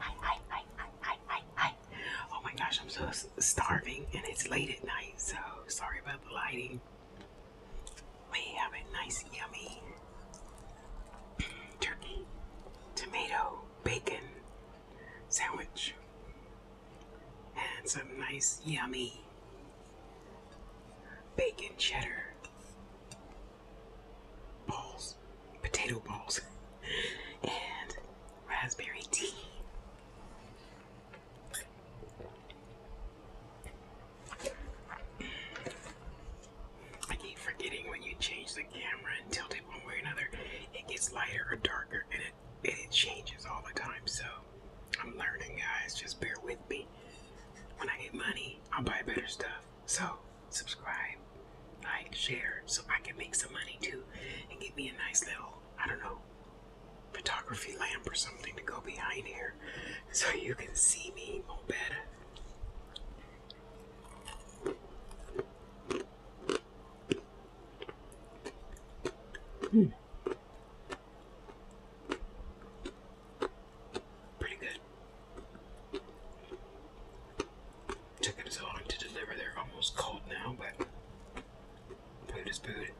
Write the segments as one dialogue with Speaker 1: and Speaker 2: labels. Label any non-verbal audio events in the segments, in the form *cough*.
Speaker 1: Hi, hi, hi, hi, hi, hi, Oh my gosh, I'm so starving and it's late at night, so sorry about the lighting. We have a nice, yummy *clears throat* turkey, tomato, bacon sandwich, and some nice, yummy bacon cheddar balls, potato balls, *laughs* and raspberry tea. I keep forgetting when you change the camera and tilt it one way or another, it gets lighter or darker, and it and it changes all the time. So I'm learning, guys. Just bear with me. When I get money, I'll buy better stuff. So, subscribe, like, share, so I can make some money too and give me a nice little, I don't know, photography lamp or something to go behind here so you can see me more better. Hmm. Pretty good. Took them so long to deliver. They're almost cold now, but food is food.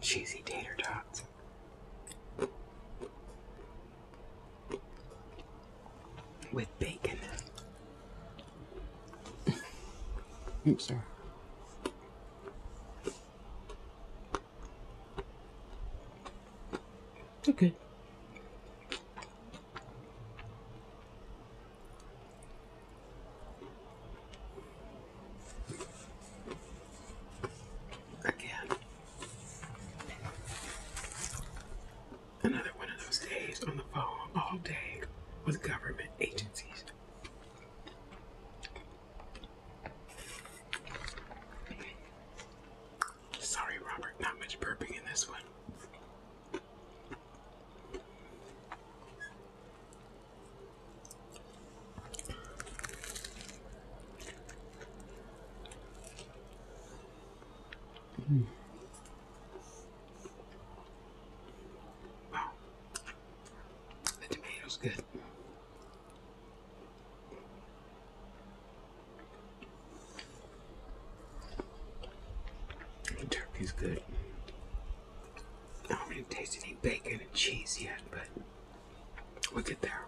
Speaker 1: Cheesy tater tots. With bacon. Oops, sorry. Okay. Again, another one of those days on the phone all day with government agencies. Sorry, Robert, not much burping in this one. Mm. Wow. The tomato's good. Turkey's good. I do not really taste any bacon and cheese yet, but we'll get there.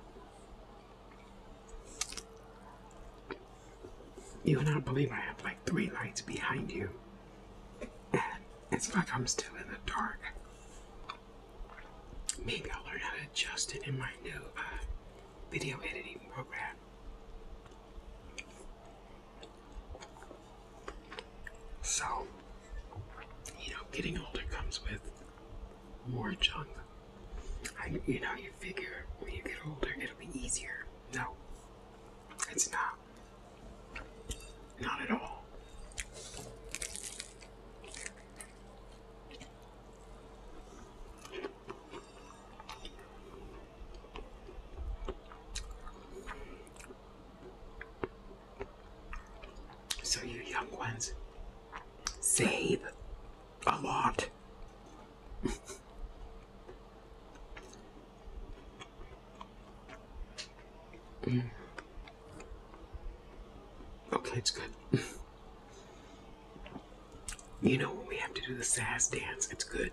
Speaker 1: You will not believe I have like three lights behind you. And it's like I'm still in the dark. Maybe I'll learn how to adjust it in my new uh, video editing program. So, you know, getting older comes with more junk. you know, you figure when you get older, it'll be easier. No, it's not. Not at all. So you young ones, save a lot. Okay, it's good. you know when we have to do the sas dance, it's good.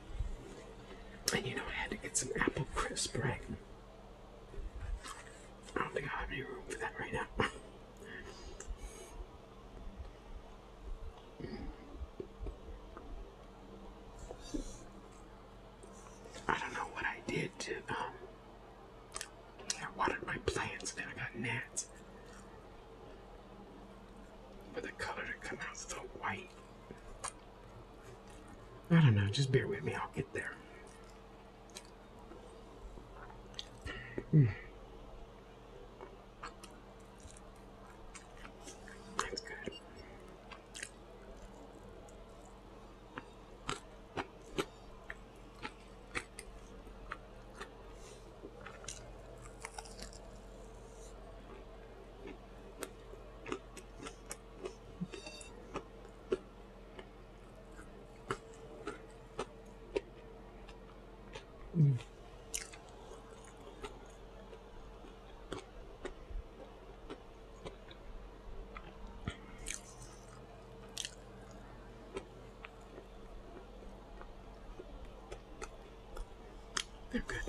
Speaker 1: And you know, I had to get some apple crisp, right? I don't think I have any room for that right now. *laughs* I don't know what I did to, um, I watered my plants and I got gnats. But the color that come out so white. I don't know. Just bear with me. I'll get there. Hmm. That's good. They're good.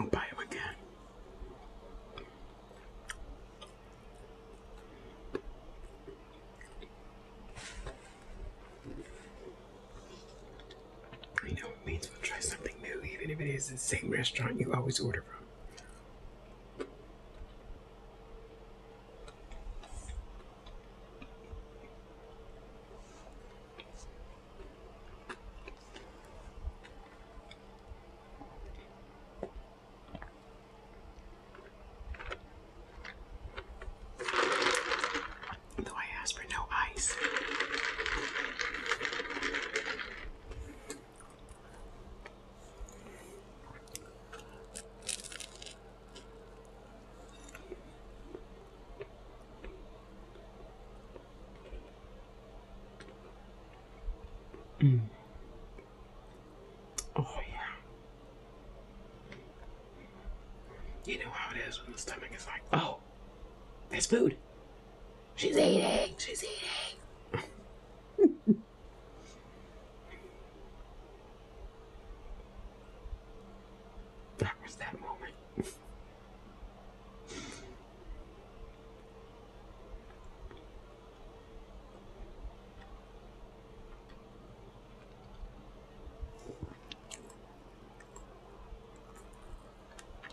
Speaker 1: I'll buy him again. You know, it means we'll try something new, even if it is the same restaurant you always order from. Though I asked for no ice. Mm. Oh yeah. You know how it is when the stomach is like, oh, there's food. She's eating. She's eating. *laughs* that was that moment. *laughs*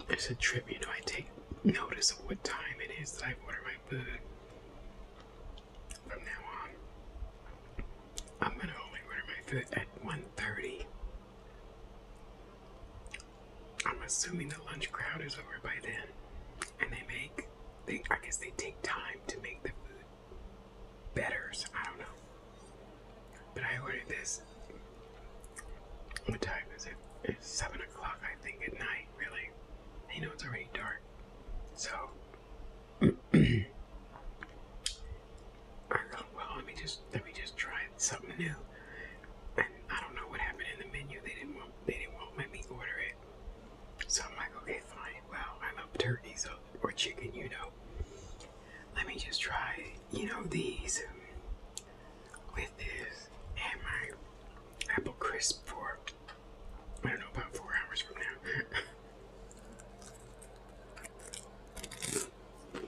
Speaker 1: As a trip, you know, I take notice of what time it is that I order my food. From now on, I'm gonna only order my food at 1.30 I'm assuming the lunch crowd is over by then, and they make they I guess they take time to make the food better. So I don't know. But I ordered this. What time is it? It's seven o'clock, I think, at night. Really, you know it's already dark, so. *clears throat* Uh, well, let me just let me just try something new. And I don't know what happened in the menu. They didn't want they didn't want let me order it. So I'm like, okay, fine. Well, I love turkey, so uh, or chicken, you know. Let me just try, you know, these um, with this and my apple crisp for I don't know about four hours from now. *laughs*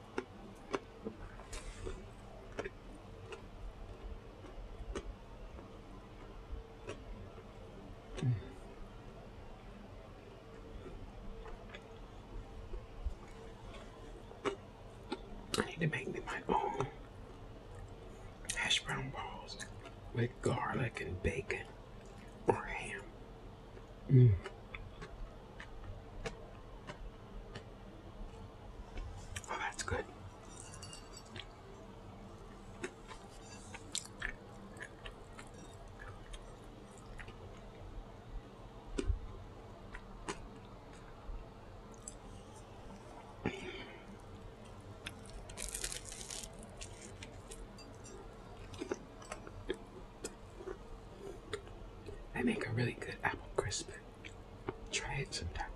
Speaker 1: I need to make me my own hash brown balls with garlic and bacon or ham. Mm. Oh, that's good. They make a really good apple crisp. Try it sometime.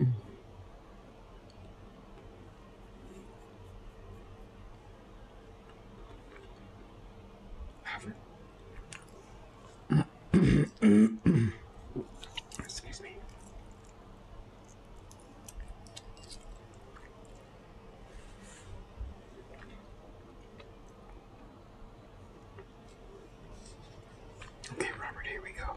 Speaker 1: Mm. *coughs* Excuse me. Okay, Robert, here we go.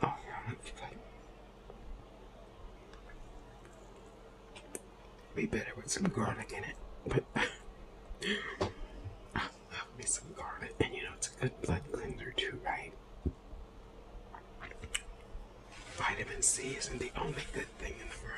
Speaker 1: Oh, be better with some garlic in it. But *laughs* I love me some garlic, and you know it's a good blood cleanser too, right? Vitamin C isn't the only good thing in the world.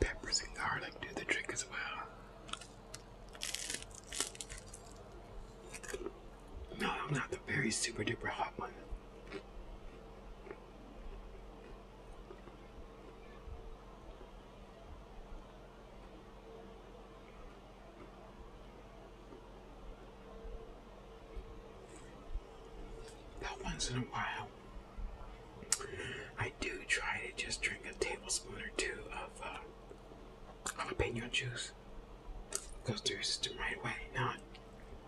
Speaker 1: Peppers and garlic do the trick as well. No, I'm not the very super duper hot one. That once in a while, I do try to just drink a tablespoon or two of uh, i jalapeno juice goes through your system right away, not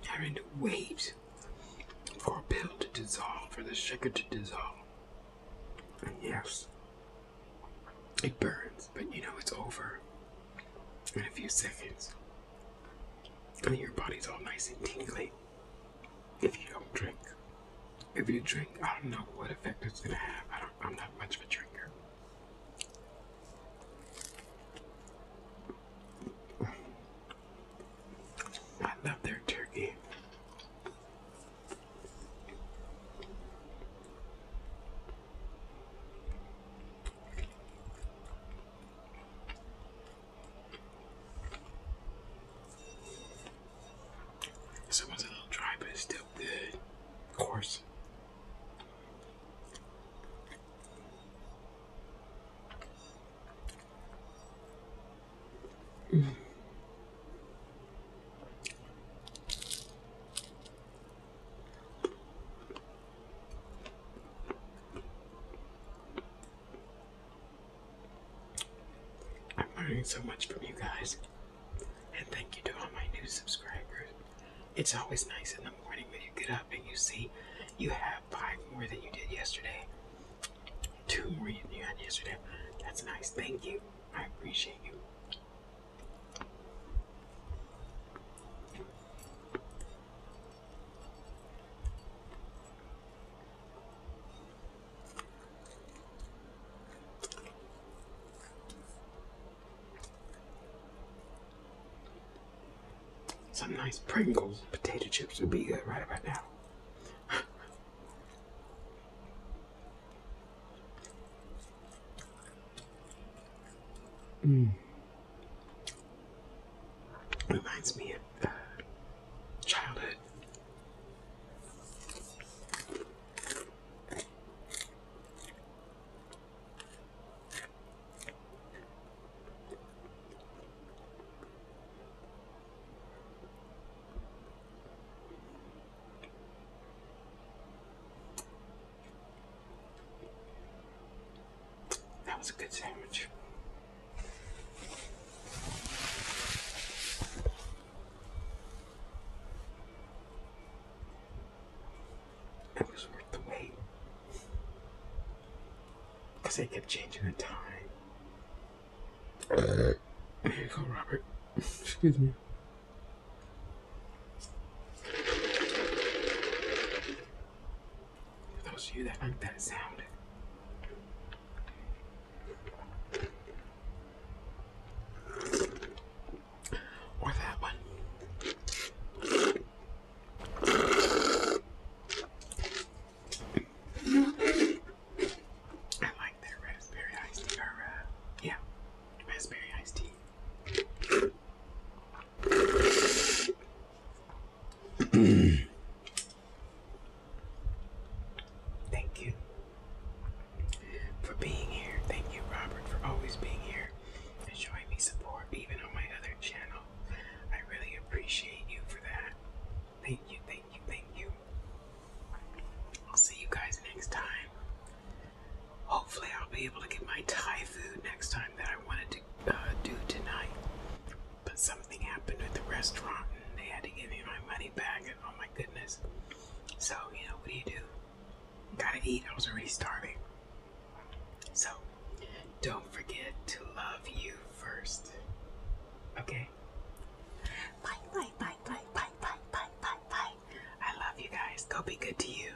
Speaker 1: having to wait for a pill to dissolve, for the sugar to dissolve. yes, it burns, but you know it's over in a few seconds. And your body's all nice and tingly if you don't drink. If you drink, I don't know what effect it's gonna have. I don't, I'm not much of a drinker. I love their turkey. This a little dry, but it's still good. Of course. I'm learning so much from you guys. And thank you to all my new subscribers. It's always nice in the morning when you get up and you see you have five more than you did yesterday. Two more than you had yesterday. That's nice. Thank you. I appreciate you. Some nice Pringles potato chips would be good right about now. mm. Reminds me of uh, childhood. That was a good sandwich. It was worth the wait. Because they kept changing the time. There you go, Robert. Excuse me. For those of you that like that sound. Or that one. I like their raspberry iced tea, uh, yeah, raspberry iced tea. Thank you for being here. Thank you, Robert, for always being here and showing me support even on my other channel. I really appreciate you for that. Thank you, thank you, thank you. I'll see you guys next time. Hopefully, I'll be able to get my Thai food next time that I wanted to uh, do tonight. But something happened at the restaurant and they had to give me my money back, oh my goodness. So, you know, what do you do? Gotta eat. I was already starving. So, don't forget to love you first. Okay? Bye, bye, bye, bye, bye, bye, bye, bye, bye. I love you guys. Go be good to you.